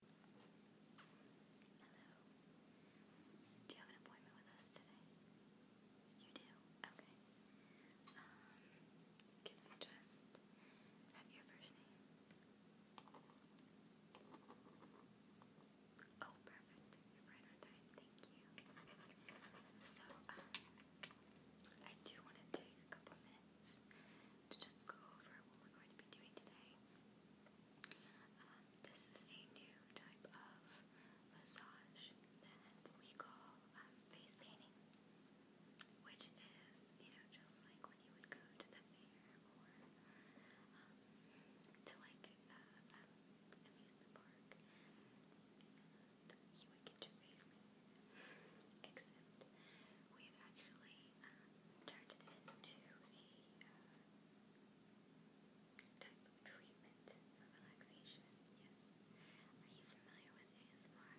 Hello. Do you have an appointment with us today? You do? Okay. Um, can I just have your first name? Oh, perfect. You're right on Thank you. So, um, I do want to take a couple minutes to just go over what we're going to be doing today. Um, this is a new type of massage that we call um, face painting, which is, you know, just like when you would go to the fair or um, to like uh, amusement park you would get your face Except we've actually um, turned it into a uh, type of treatment for relaxation. Yes. Are you familiar with ASMR?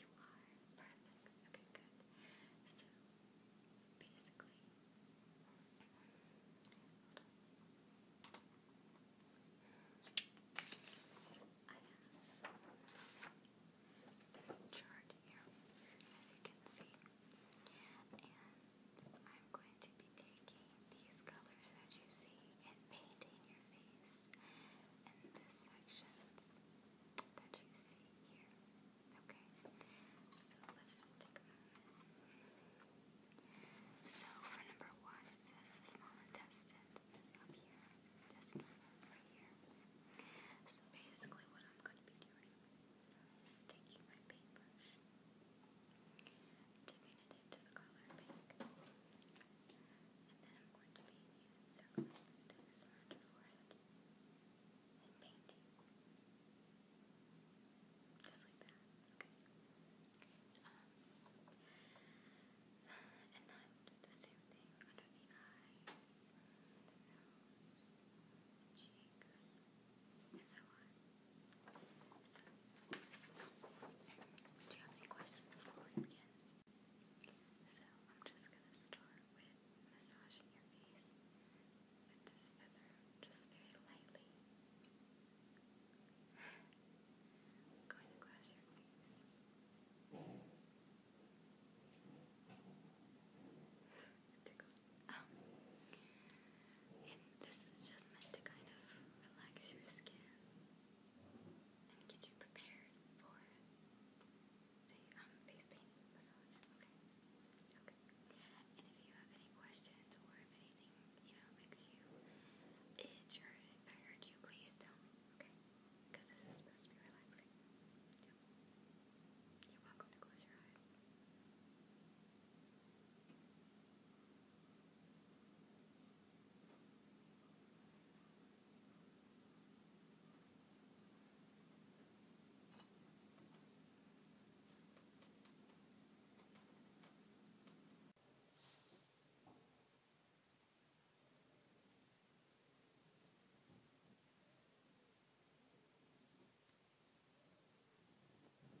You are. Perfect. Okay, good. So, basically, um, have this chart here, as you can see, and I'm going to be taking these colors that you see and painting your face in this sections that you see here. Okay, so let's just take a moment. So for number one, it says the small intestine this up So basically what I'm going to be doing is taking my paintbrush, dipping it into the color pink, and then I'm going to be circling this around forehead and painting. Just like that, okay? Um, and do you have any questions before we begin? So, I'm just gonna start with massaging your face with this feather, just very lightly i this is just meant to kind of relax your skin and get you prepared for the um, face painting Okay. Okay. And if you have any questions or if anything you know, makes you itch, if I hurt you, please tell me, okay? Because this is supposed to be relaxing. You're welcome to close your eyes. I personally really enjoy when people play with my hair or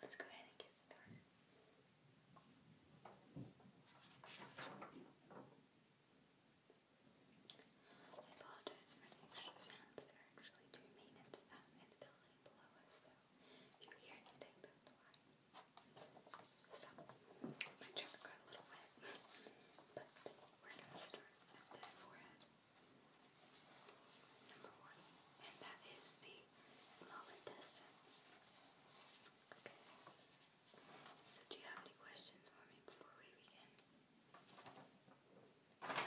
Let's go ahead and get started. I apologize for the extra sounds. They're actually doing maintenance uh, um, in building below us, if you hear anything, that's why. So, my trigger got a little wet, but we're going to start at the forehead. Number one, and that is the small intestine. Okay. So, do you have any questions for me before we begin? Okay.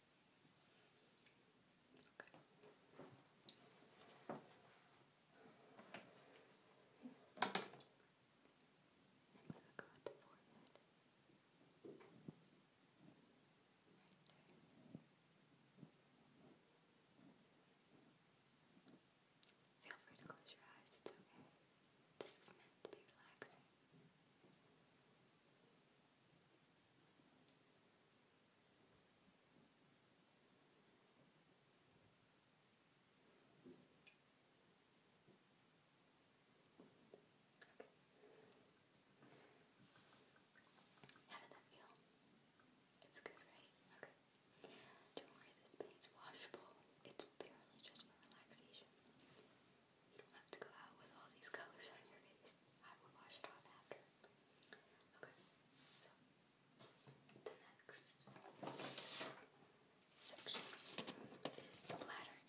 Okay. i Feel free to close your eyes, it's okay. This is meant to be relaxing. How did that feel? It's good, right? Okay. Don't worry, this paint's washable. It's purely just for relaxation. You don't have to go out with all these colors on your face. I will wash it off after. Okay, the next section is the bladder,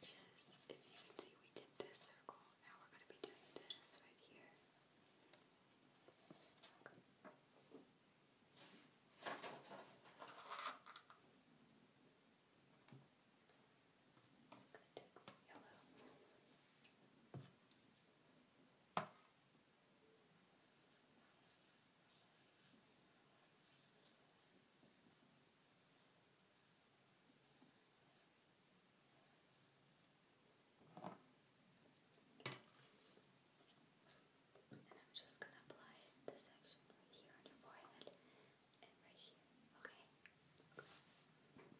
which is, if you can see, we did this circle. Now we're going to be doing this right here. Okay. Good. Yellow. And I'm just going to apply this section right here on your forehead and right here. Okay? Okay.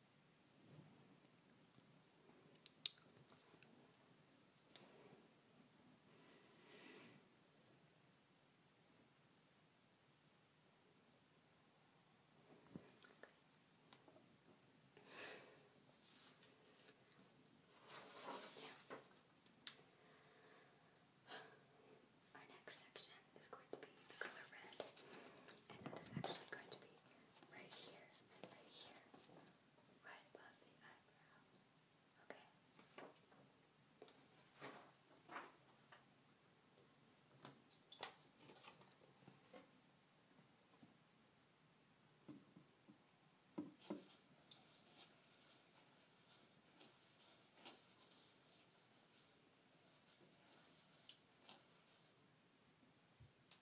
Our next section is going to be color red, and that is actually going to be right here and right here, right above the eyebrow. Okay.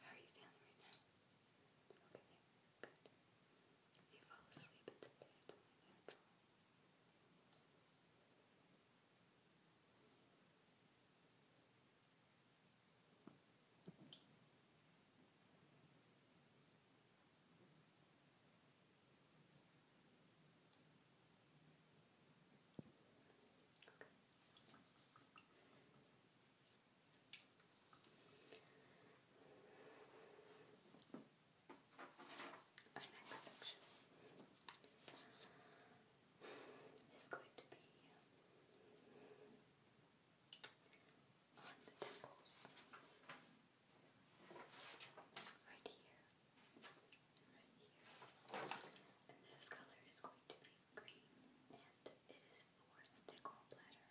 How are you feeling right now? Okay, good. If you fall asleep in the bed, it's only natural. Okay. Our next section is going to be on the temples. Right here right here. And this color is going to be green, and it is for the gallbladder.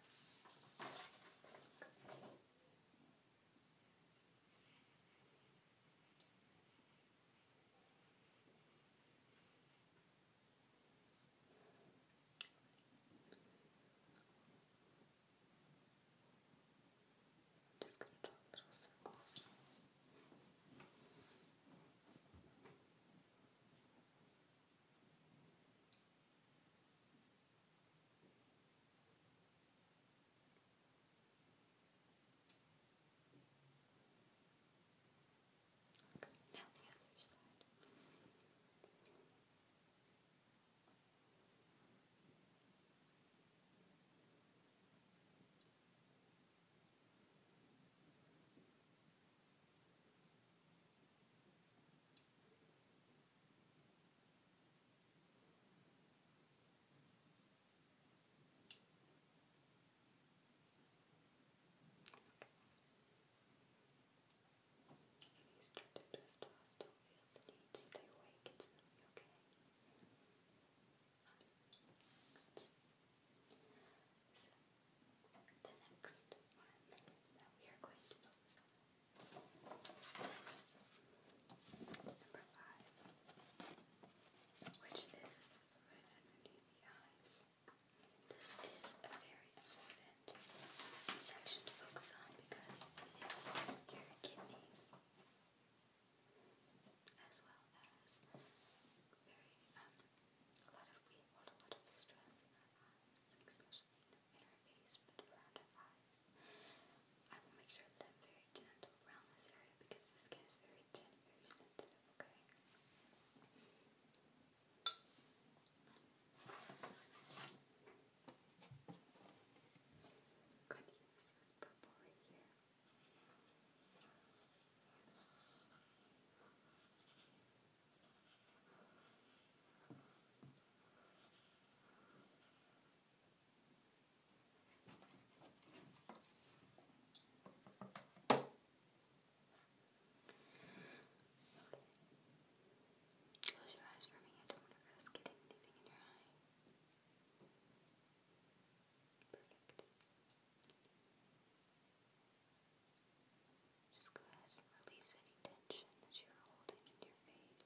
Just gonna draw little circles. Okay, now the other side. You start to drift off, don't feel the need stay awake, it's okay. So, the next one that we are going to focus on number five, which is right underneath the eyes. This is a very important section to focus on because it is your kidneys as well as very um, a lot of we a lot of stress in in our face, but around our eyes. I will make sure that I'm very gentle around this area because the skin is very thin, very sensitive. Okay. Good use purple right Close your eyes for me. I don't want to risk getting anything in your eye. Perfect. Just go ahead and release any tension that you're holding in your face.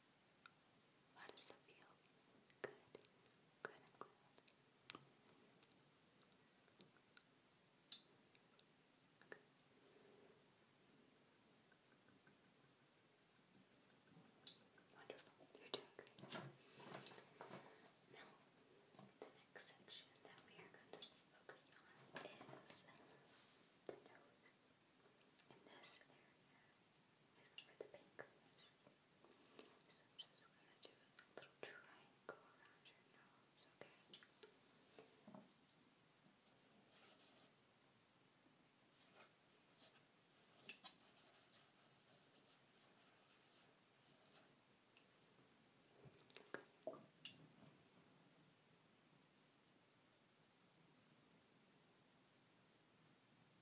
How does that feel? Good. Good, Wonderful, you're doing great. Now, the next section that we are going to focus on is the nose in this area is for So I'm just gonna do a little triangle around your nose, Okay. Okay,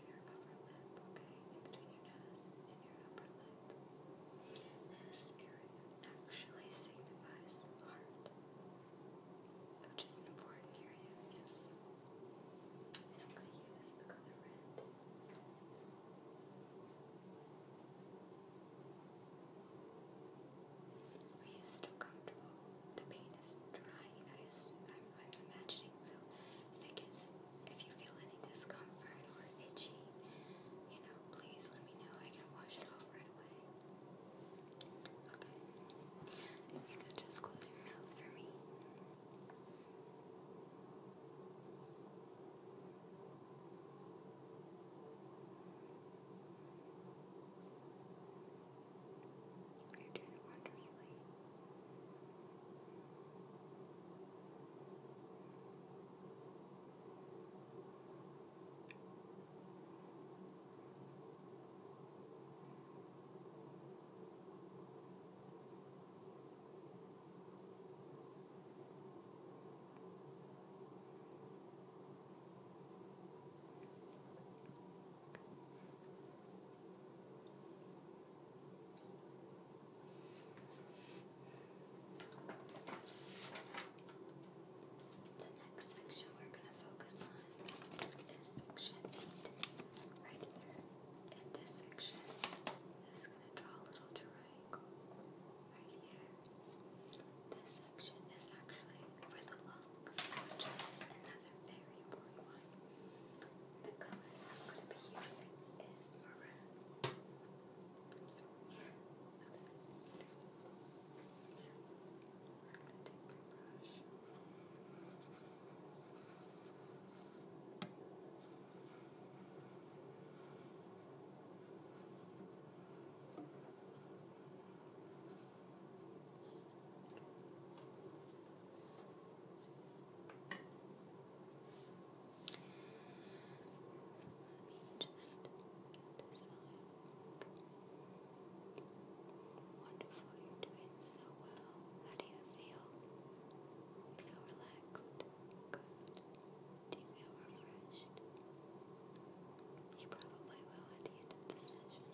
your upper lip, okay? In between your nose and your upper lip. This area actually signifies heart, which is an important area, yes. And I'm going to use the color red. Are you still comfortable? the paint is dry, I'm, imagining, so if it gets, if you feel any discomfort or itchy, you know, please let me know, I can wash it off right away. Okay, if you could just close your mouth for me. You're doing wonderfully. The next section we're going to focus on is section 8, right here. this section, I'm just going to draw a little triangle right here. This section is actually for the long which is another very important one. The color I'm going to be using is maroon. I'm going to take my brush. Let me just get this Wonderful, you're doing so well. How do you feel? You feel relaxed? Good. Do you feel refreshed? You probably will at the end of the session.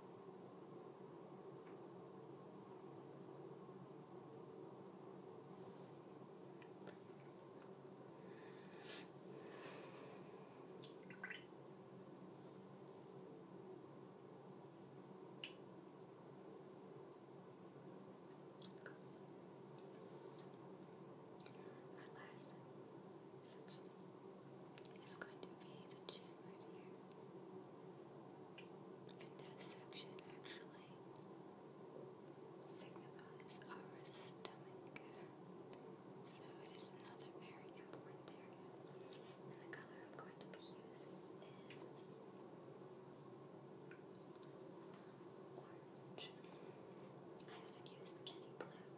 Our last section is going to be the chin right here. And that section actually signifies our stomach. So it is another very important area. And the color I'm going to be using is orange. I haven't used any blue.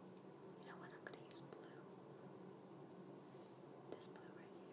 You know what? I'm going to use blue. This blue right here.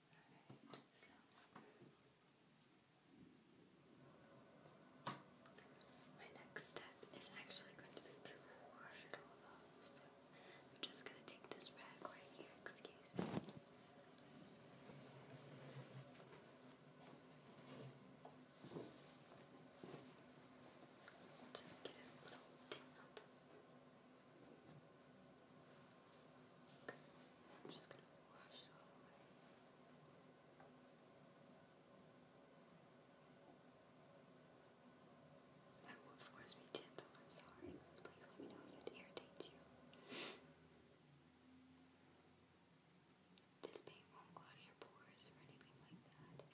Alright, so my next step is actually going to be to wash it all off. So I'm just gonna take this rag here, excuse me. Just get a little tip up. I'm just going to wash it all away. I won't force be gentle, I'm sorry. Please let me know if it irritates you. This paint won't clog your pores or anything like that.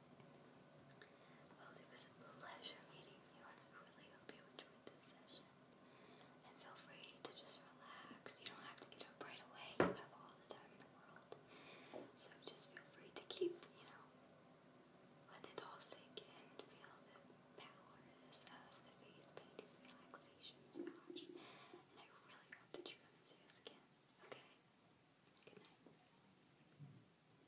Well, it was a pleasure meeting you, and I really hope you enjoyed this session. And feel free to just relax. You don't have to get up right away. You have all the time in the world. So just feel free to keep, you know, let it all sink in and feel the powers of the face painting relaxation massage. And I really hope that you come and see us again. Okay? Good night.